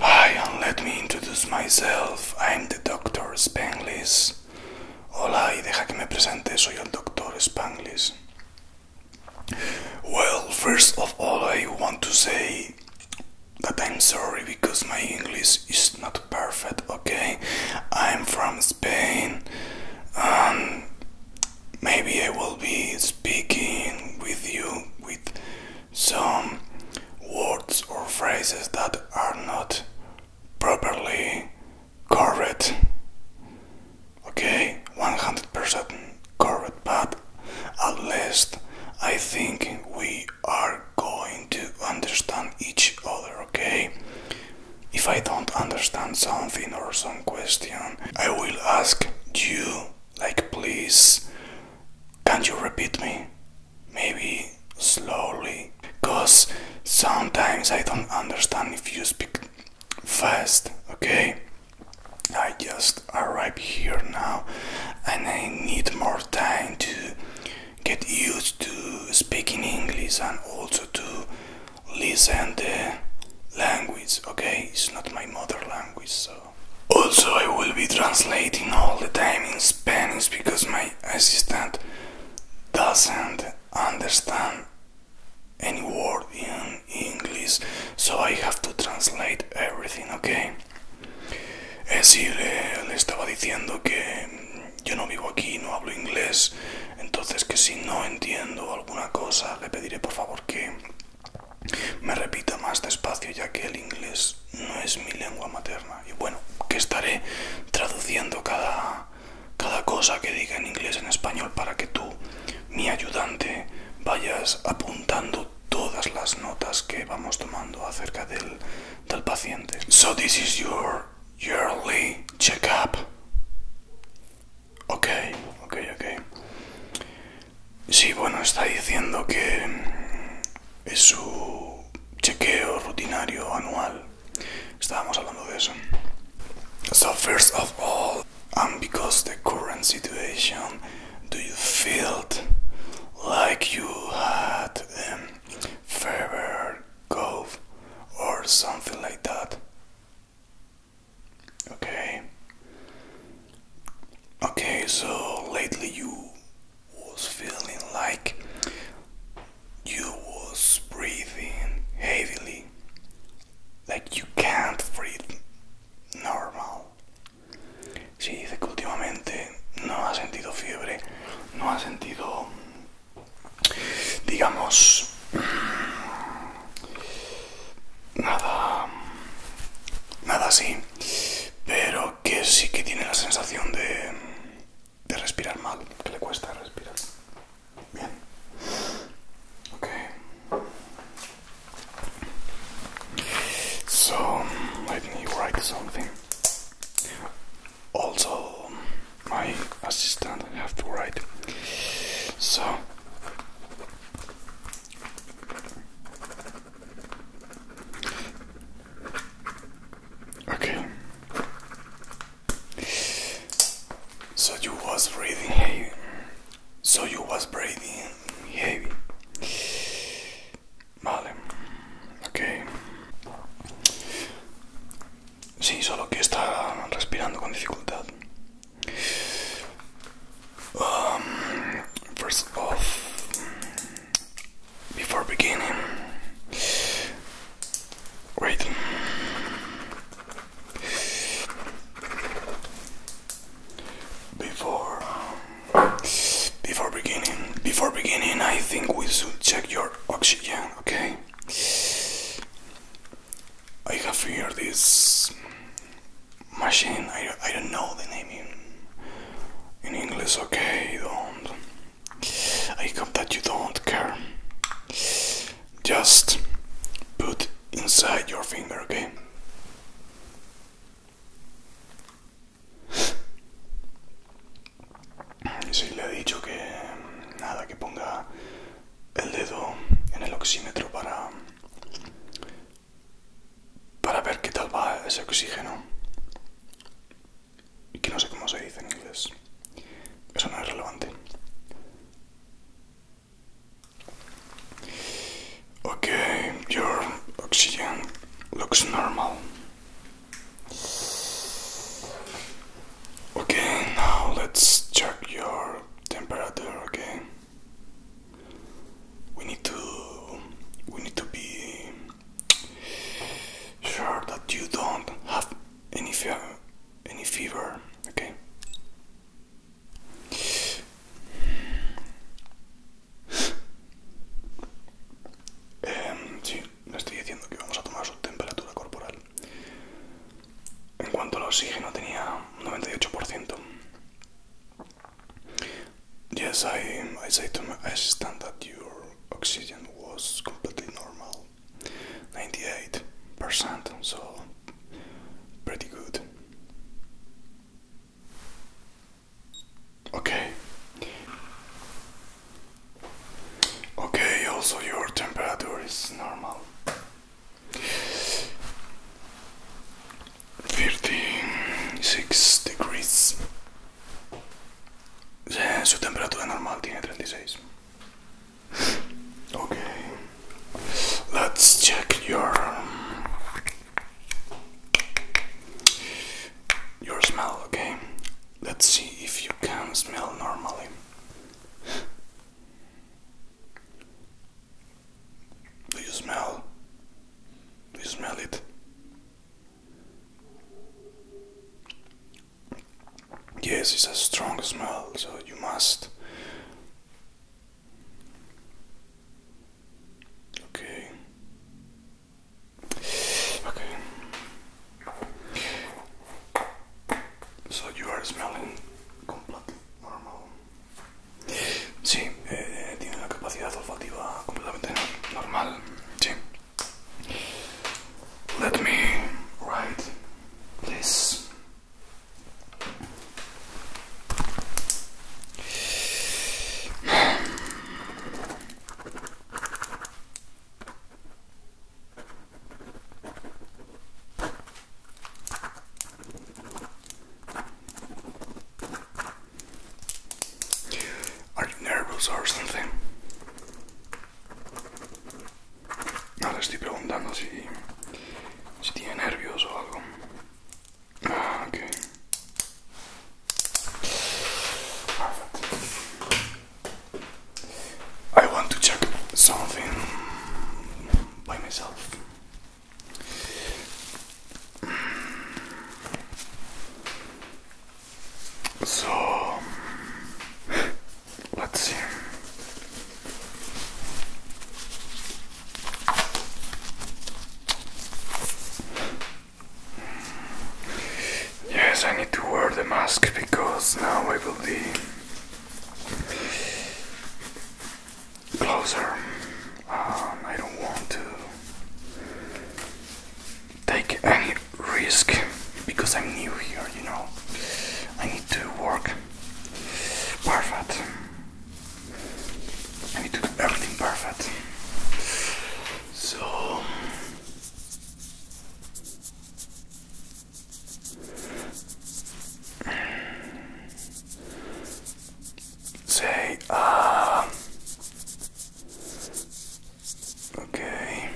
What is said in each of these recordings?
Hi, and let me introduce myself. I'm the Dr. Spanglish. Hola, y deja que me presente. Soy el Dr. Spanglish. Well, first of all, I want to say but I'm sorry because my English is not perfect, okay? I'm from Spain maybe I will be speaking with you with some words or phrases that are not properly correct. Okay, 100% correct, but at least I think we are going to understand each other, okay? If I don't understand something or some question, I will ask you, like, please, can you repeat me? Maybe slowly, because sometimes I don't understand if you speak fast, okay? I just arrived here now and I need more time to get used to speaking English and also to listen the language. Okay, it's not my mother language, so. Also, I will be translating all the time in Spanish because my assistant doesn't understand any word in English, so I have to translate everything, okay? Es sí, eh, le, estaba diciendo que yo no vivo aquí, no hablo inglés, entonces que si no entiendo alguna cosa le pediré por favor que me repita más despacio ya que el inglés no es mi lengua materna. Y bueno, que estaré traduciendo cada, cada cosa que diga en inglés en español para que tú, mi ayudante, vayas apuntando todas las notas que vamos tomando acerca del del paciente. So this is your yearly checkup. Ok, ok, ok. Sí, bueno, está diciendo que mm, es su chequeo rutinario anual. Estábamos hablando de eso. So first of all, and um, because the current situation, do you feel like you had um, Fever, Cove or something like that. Okay. Okay, so lately you was feeling like you was breathing heavily. Like you can't breathe normal. si dice que últimamente no ha sentido fiebre, no ha sentido, digamos, nada, nada así, pero que sí que tiene la sensación de, de respirar mal, que le cuesta respirar. Bien. Okay. So write something. also my assistant have to write. So okay. So you was breathing heavy. So you was breathing heavy. Vale, ok. Sí, solo que está respirando con dificultad. Um, first off, before beginning, wait. Before. Before beginning, before beginning, I think we should check your oxygen, okay? I have here this machine. I, I don't know the name in, English, okay? Don't. I hope that you don't care. Just put inside your finger, okay? Sí, le he dicho que nada, que ponga el dedo en el oxímetro para para ver qué tal va ese oxígeno. Y que no sé cómo se dice en inglés. Eso no es relevante. Okay, your oxygen looks normal. Okay, now let's check your temperature, again. We need to we need to be sure that you don't have any fever, any fever, okay? Um, le estoy diciendo que vamos a tomar su temperatura corporal. En cuanto al oxígeno tenía un 98%. Yes, I, I said to my assistant that your oxygen was completely normal. 98%, so pretty good. Okay. Okay, also your temperature is normal. 36 degrees. Su temperatura normal tiene 36. Okay. Let's check your your smell, okay? Let's see if you can smell normally. Do you smell? Do you smell it? Yes, it's a strong smell, so you must. Okay. Okay. So you are smelling completely normal. Sí, eh, tiene la capacidad olfativa completamente normal. Sí. Let me write this. Are nervioso nervous or something? No le estoy preguntando si, si tiene nervios o algo. Ah, I want to check something by myself. So let's see. Yes, I need to wear the mask because now I will be closer. Um, I don't want to take any risk because I'm new here, you know. I need to work perfect. I need to do everything perfect. So Say, ah. okay.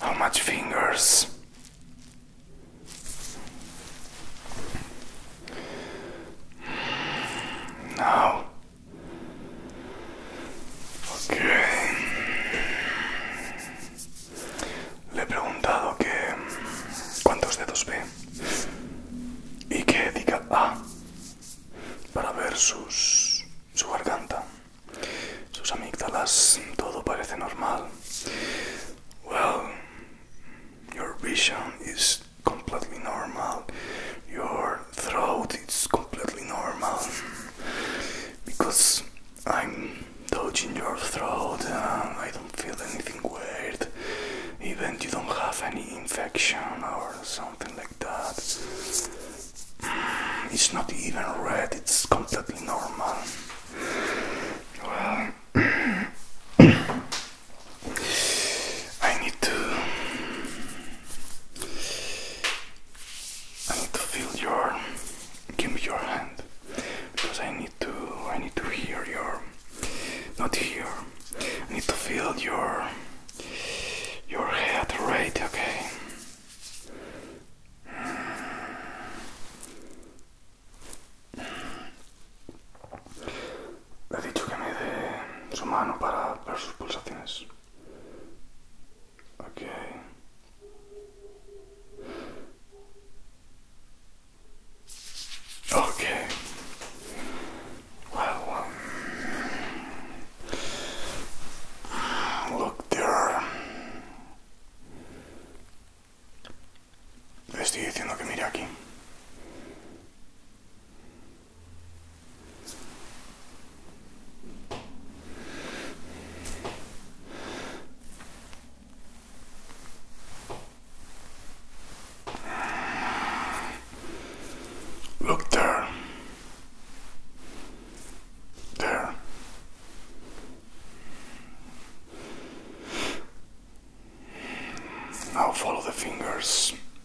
How much fingers? Now Ok. Le he preguntado que cuántos dedos ve y que diga A para ver sus, su garganta, sus amígdalas, todo parece normal. Well, your vision is completely normal. Your throat is completely normal because I'm touching your throat and I don't feel anything weird. Even you don't have any infection or something like that. It's not even red, it's completely normal. Well, I need to I need to feel your give me your hand because I need to I need to hear your not hear I need to feel your your head Right? okay Le he dicho que me dé su mano para, ver sus pulsaciones. Ok. Ok. Um, look, Le estoy diciendo que mire aquí. Look there. There. Now follow the fingers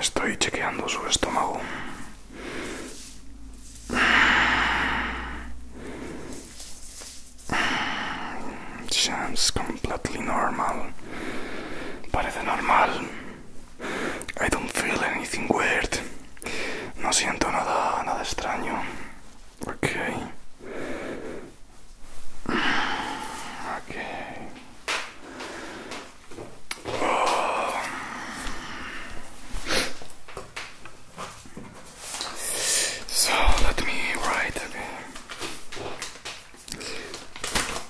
Estoy chequeando su estómago. Sounds completely normal. Parece normal. I don't feel anything weird. No siento nada, nada extraño. Okay. Okay. So let me write okay.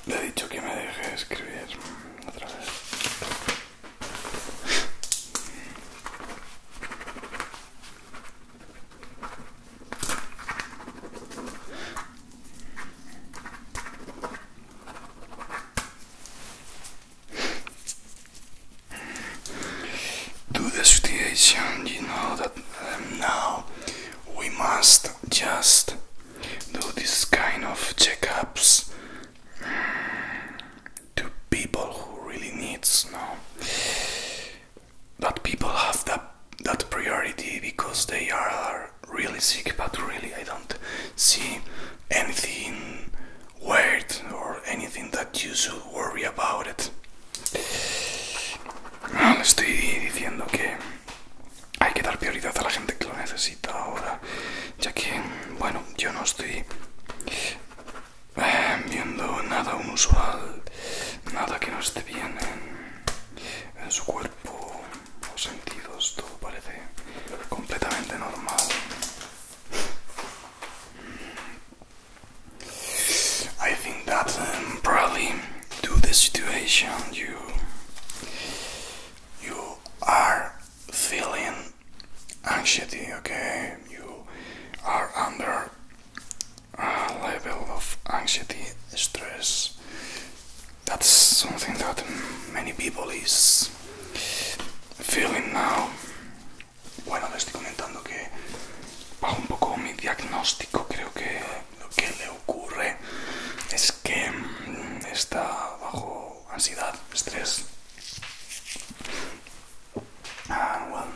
Le he dicho que me deje escribir to the situation, you know that um, now we must just do this kind of checkups to people who really need snow. but people have that that priority because they are really sick, but really I don't see anything weird or anything that you should worry about it. No, le estoy diciendo que hay que dar prioridad a la gente que lo necesita ahora, ya que, bueno, yo no estoy viendo nada unusual, nada que no esté bien en, su cuerpo o sentidos, todo parece completamente normal. I think that um, probably to the situation you you are feeling anxiety, okay? You are under a level of anxiety, stress. That's something that many people is feeling now. Bueno, le estoy comentando que bajo un poco mi diagnóstico, creo que lo que le ocurre es que mm, está bajo ansiedad, estrés Ah, well,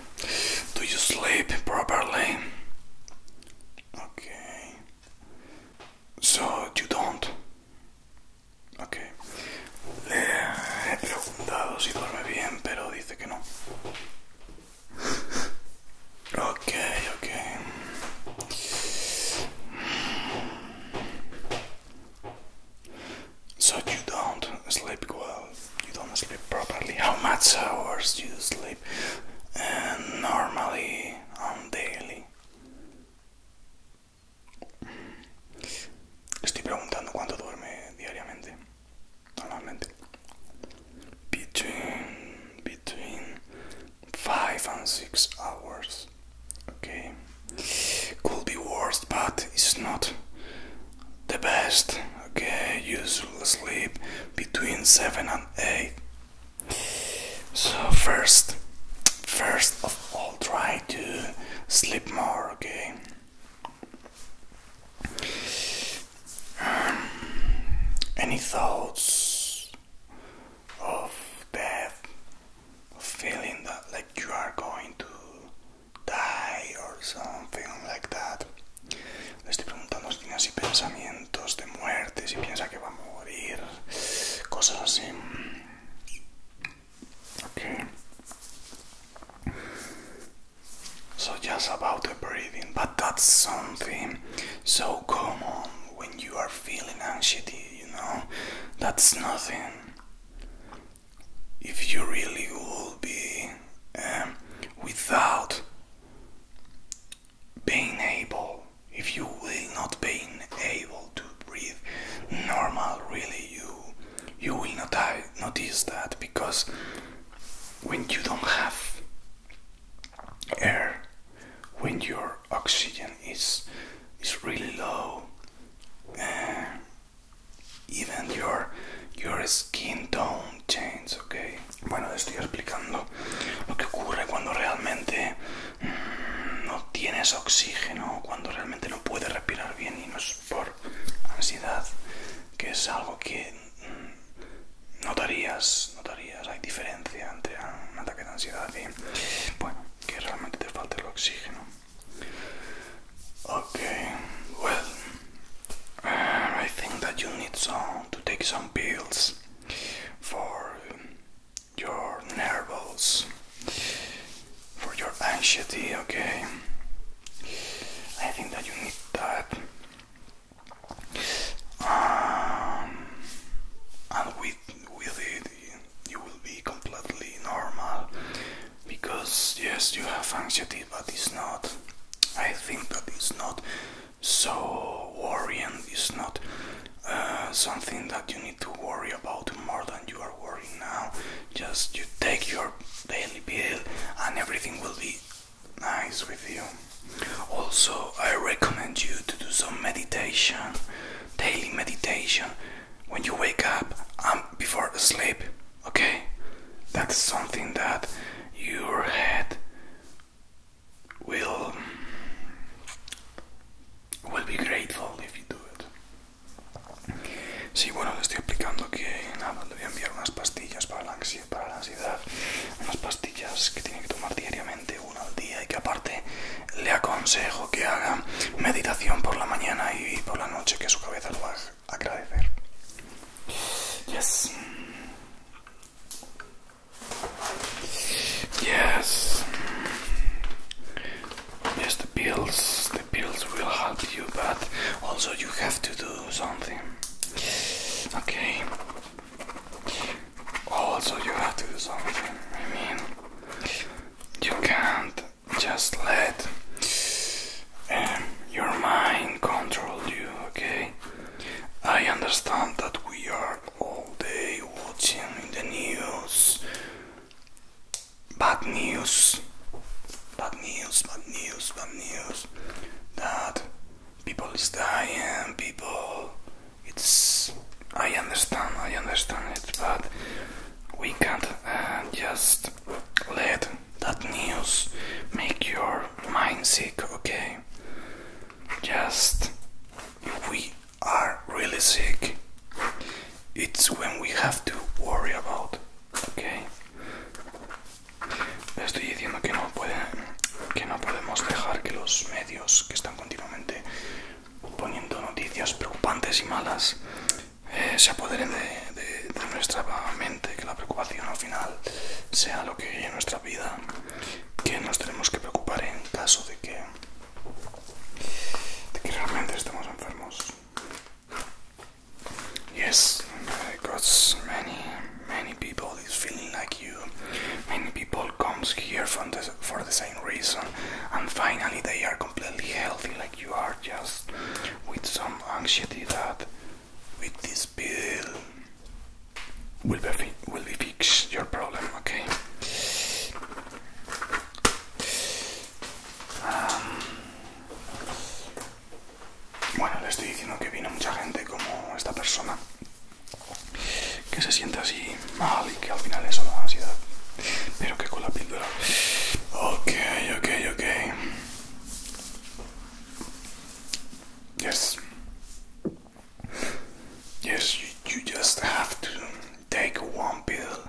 do you sleep properly? Okay. So you don't. Okay. Le he preguntado si duerme bien, pero dice que no. Ok, ok. So you don't sleep well, you don't sleep properly. How much hours do you sleep And eh, normally on daily? I'm asking Estoy preguntando cuánto duerme diariamente, normalmente. Between between five and six hours. Okay. Could be worse, but it's not the best okay usually sleep between 7 and 8 so first first of all try to sleep more okay um, any thoughts of death of feeling that like you are going to die or something like that. Le estoy preguntando si tiene así pensamientos de muerte, si piensa que va a morir, cosas así. Okay. So just about the breathing, but that's something so common when you are feeling anxiety, you know. That's nothing if you really will be um, without being able, if you will not being able to breathe normal, really, you you will not notice that because when you don't have air, when your oxygen is is really low. Uh, even your your skin tone change, okay. Bueno, te estoy explicando lo que ocurre cuando realmente mm, no tienes oxígeno, cuando realmente no puedes respirar bien y no es por ansiedad, que es algo que mm, notarías, notarías, hay diferencia entre un ataque de ansiedad y bueno, que realmente te falte el oxígeno. Okay, well, uh, I think that you need some to take some pills for your nerves, for your anxiety. Okay, I think that you need that. Um, and with with it, you will be completely normal because yes you have anxiety but it's not I think that it's not so worrying it's not uh, something that you need to worry about more than you are worrying now just you take your daily pill and everything will be nice with you also I recommend you to do some meditation daily meditation when you wake up and before sleep okay that's something that your head will will be grateful if you do it Sí, bueno, le estoy explicando que nada, le voy a enviar unas pastillas para la, ansiedad, para la ansiedad, unas pastillas que tiene que tomar diariamente, una al día, y que aparte le aconsejo que haga meditación por la mañana y por la noche, que su cabeza lo haga. Yes. Yes. Yes, the pills, the pills will help you, but also you have to do something. Okay. Also, you have to do something. I mean, you can't just let um, your mind control you, okay? I understand that we are all day watching in the news bad news, bad news, bad news, bad news that people is dying, people. It's. I understand, I understand it, but we can't uh, just let that news make your mind sick, okay? Just if we are really sick, it's when we have to worry about, okay? Estoy diciendo que no, puede, que no podemos dejar que los medios que están continuamente poniendo noticias preocupantes y malas se apoderen de, nuestra mente, que la preocupación al final sea lo que guíe nuestra vida, que nos tenemos que preocupar en caso de que, de que realmente estemos enfermos. Yes, because many, many people is feeling like you. Many people comes here from the, for the same reason, and finally they are completely healthy, like you are, just with some anxiety that with this pill will fix your problem. Okay. Um, bueno, le estoy diciendo que vino mucha gente como esta persona que se siente así mal y que al final es solo ansiedad, pero que con la píldora. Ok, ok, ok. Yes. Yes, you, just have to take one pill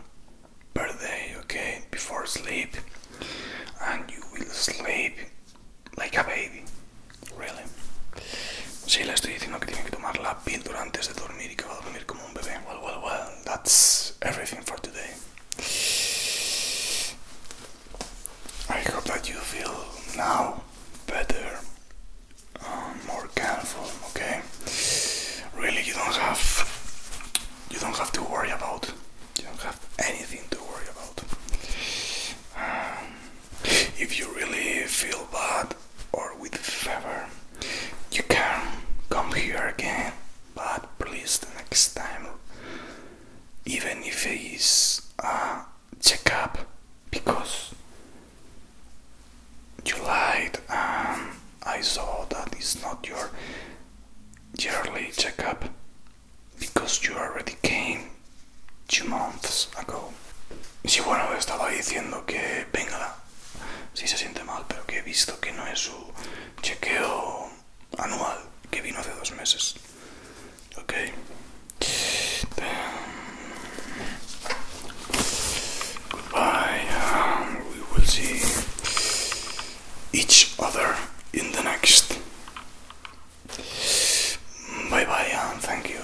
per day, okay, before sleep, and you will sleep like a baby. Really. Sí, le estoy diciendo que tiene que tomar la píldora antes de dormir y que va a dormir como un bebé. Well, well, well, that's everything for today. I hope that you feel now better, um, more careful. Okay, really, you don't have you don't have to worry about. You don't have anything to worry about. Um, if you really feel bad or with fever, you can come here again. But please, the next time even if it's a checkup because you lied I saw that it's not your yearly checkup because you already came two months ago. Sí, bueno, estaba diciendo que venga, si sí se siente mal, pero que he visto que no es su chequeo goodbye. we will see each other in the next. Bye bye and thank you.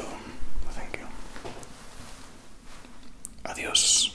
Thank you. Adios.